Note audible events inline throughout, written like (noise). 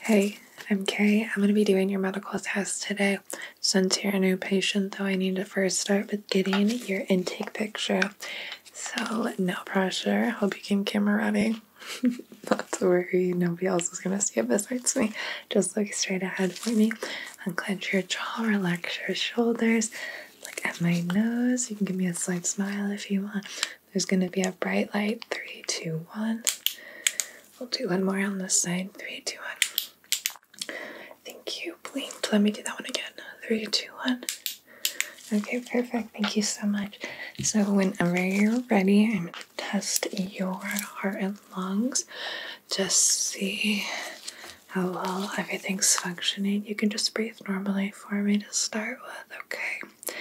Hey, I'm Kay. I'm going to be doing your medical test today. Since you're a new patient, though, I need to first start with getting your intake picture. So, no pressure. Hope you came camera ready. (laughs) Not to worry, nobody else is going to see it besides me. Just look straight ahead for me. Unclench your jaw, relax your shoulders. Look at my nose. You can give me a slight smile if you want. There's going to be a bright light. Three, two, one. We'll do one more on this side. Three, two, one. Thank you. please. Let me do that one again. Three, two, one. Okay, perfect. Thank you so much. So, whenever you're ready, I'm going to test your heart and lungs. Just see how well everything's functioning. You can just breathe normally for me to start with, okay?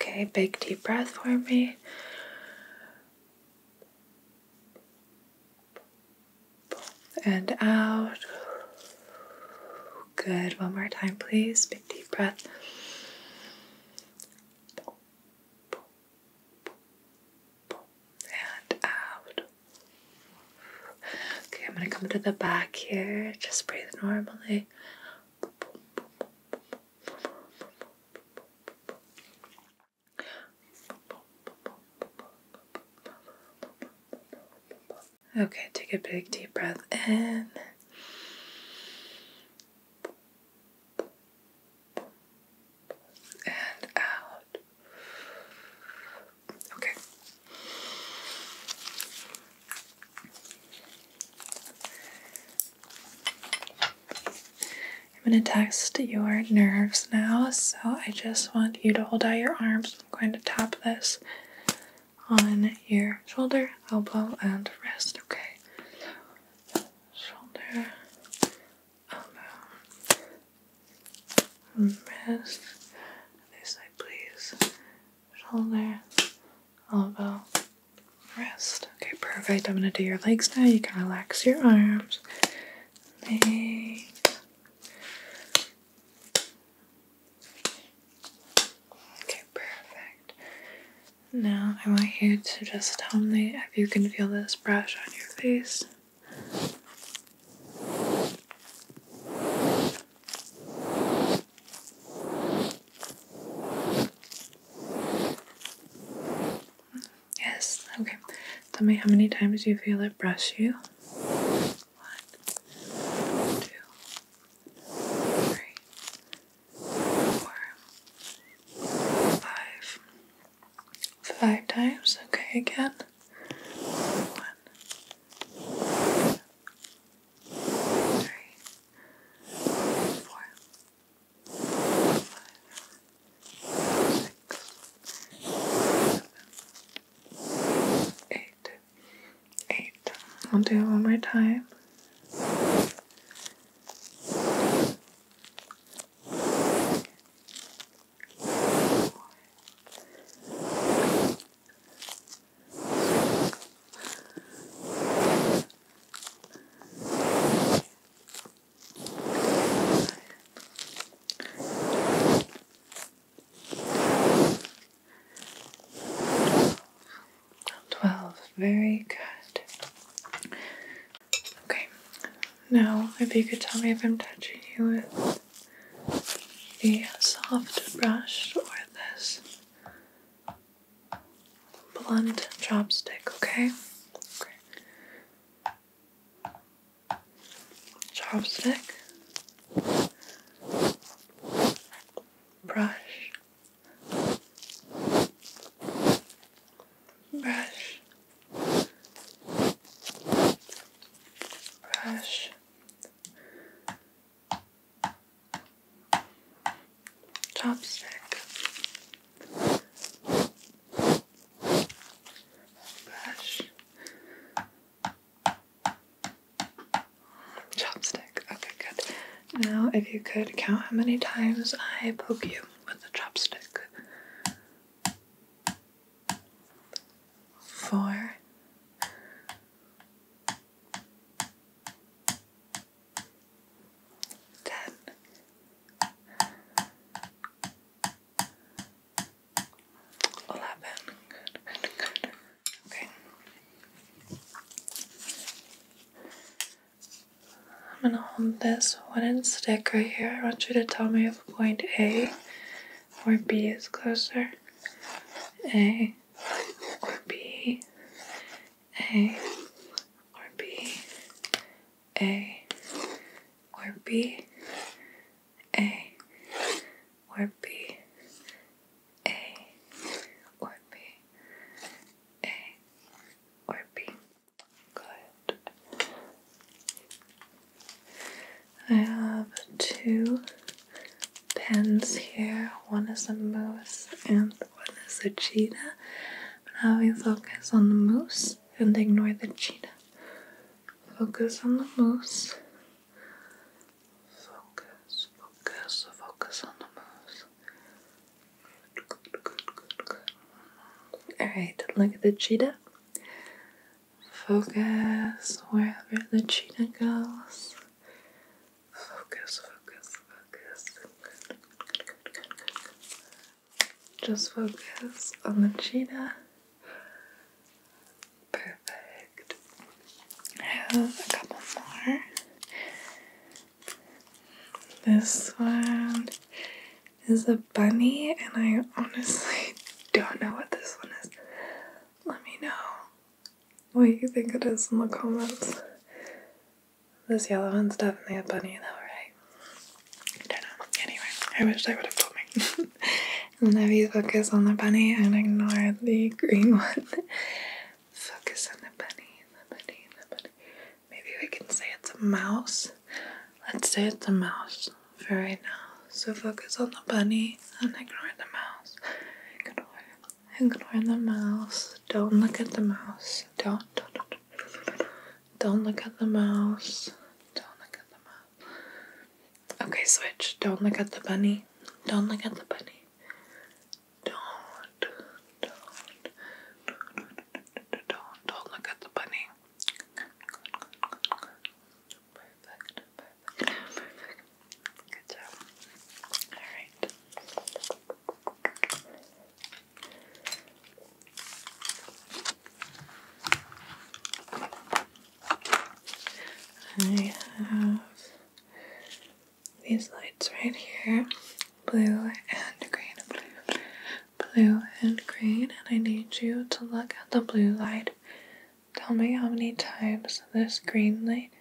Okay, big deep breath for me. And out. Good. One more time, please. Big deep breath and out. Okay, I'm gonna come to the back here. Just breathe normally. Okay, take a big deep breath in and out. Okay. I'm going to test your nerves now, so I just want you to hold out your arms. I'm going to tap this on your shoulder, elbow, and wrist. Okay. Shoulder, elbow, wrist. This side, please. Shoulder, elbow, wrist. Okay, perfect. I'm gonna do your legs now. You can relax your arms. Legs. Okay, perfect. Now I want you to just tell me if you can feel this brush on your face. Yes, okay. Tell me how many times you feel it brush you. One, two, three, four, five, five times. Okay, again. One, two, three, four, five, six, seven, eight eight. I'll do it one more time. 12. Very good. Okay. Now, if you could tell me if I'm touching you with the soft brush or this blunt chopstick, okay? okay. Chopstick brush, brush, brush. Chopstick, brush, Chopstick. Okay, good. Now, if you could count how many times I poke you with the chopstick. Four. good, good. Okay, I'm gonna hold this wooden stick right here. I want you to tell me if point A or B is closer. A or B. A or B. A or B. A or B A or B A or B. Good. I have two pens here. One is a moose and one is a cheetah. But now we focus on the moose and ignore the cheetah. Focus on the moose Focus, focus, focus on the mouse. Alright, look at the cheetah. Focus wherever the cheetah goes. Focus, focus, focus. Just focus on the cheetah. Perfect. I have a couple more. This one is a bunny, and I honestly (laughs) don't know what this one is. Let me know what you think it is in the comments. This yellow one's definitely a bunny, though, right? I don't know. Anyway, I wish they would have told me. (laughs) And have focus on the bunny and ignore the green (laughs) one. focus on the bunny, the bunny, the bunny. Maybe we can say it's a mouse. Let's say it's a mouse for right now. So focus on the bunny and ignore the mouse. Ignore, ignore the mouse. Don't look at the mouse. Don't, don't, don't. Don't look at the mouse. Don't look at the mouse. Okay, switch. Don't look at the bunny. Don't look at the bunny. Don't. Don't. Don't. Don't, don't look at the bunny. Perfect. Perfect. Perfect. Good job. All right. I have these lights right here blue and green, blue, and green. And I need you to look at the blue light. Tell me how many times this green light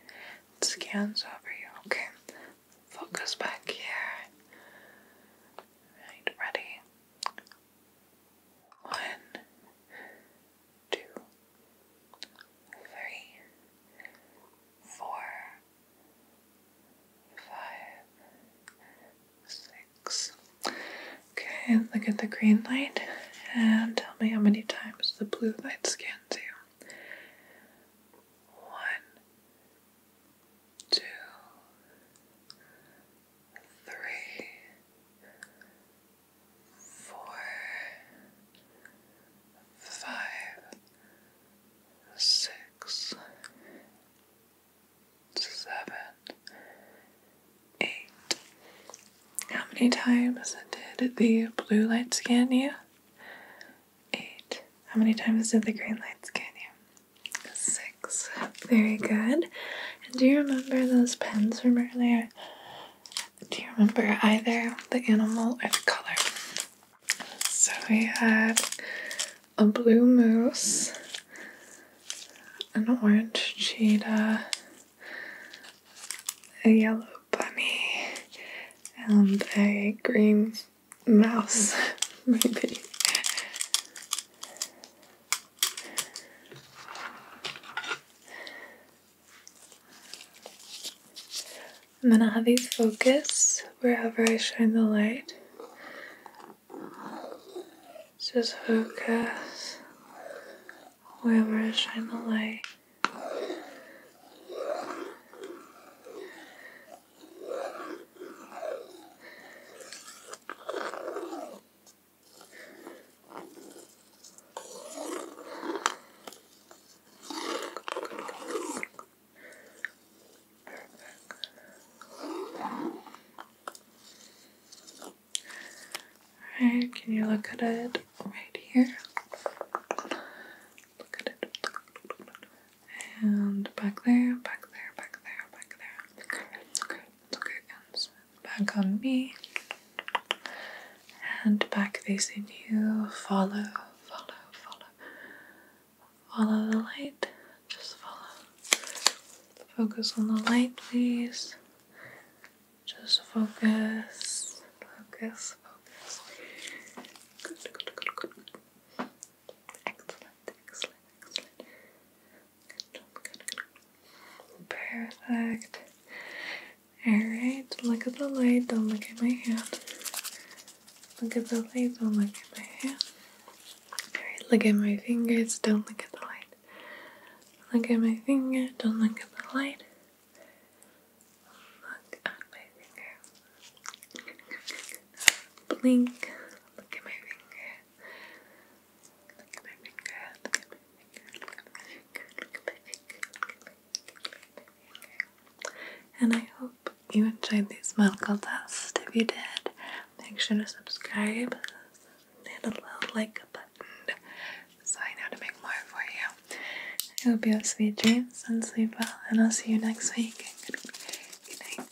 scans over you. Okay, focus back here. ready. One, two, three, four, five, six. Okay, look at the green light and tell me how many times the blue light scans you. One, two, three, four, five, six, seven, eight. How many times did the blue light scan you? Eight. How many times did the green lights scan you? Six. Very good. And do you remember those pens from earlier? Do you remember either the animal or the color? So we had a blue moose, an orange cheetah, a yellow bunny, and a green mouse, (laughs) maybe. I'm gonna have you focus wherever I shine the light. Just focus wherever I shine the light. Alright, can you look at it right here? Look at it. And back there, back there, back there, back there. Okay, okay. Look it back on me. And back facing you. Follow, follow, follow. Follow the light. Just follow. Focus on the light, please. Just focus. Focus, focus. Excellent, excellent, excellent. Perfect. Alright, look at the light, don't look at my hand. Look at the light, don't look at my hand. Alright, look at my fingers, don't look at the light. Look at my finger, don't look at the light. Look at my finger. Blink, look at my finger. And I hope you enjoyed these medical tests. If you did, make sure to subscribe, hit the little like button so I know to make more for you. I hope you have sweet dreams and sleep well, and I'll see you next week. Good night.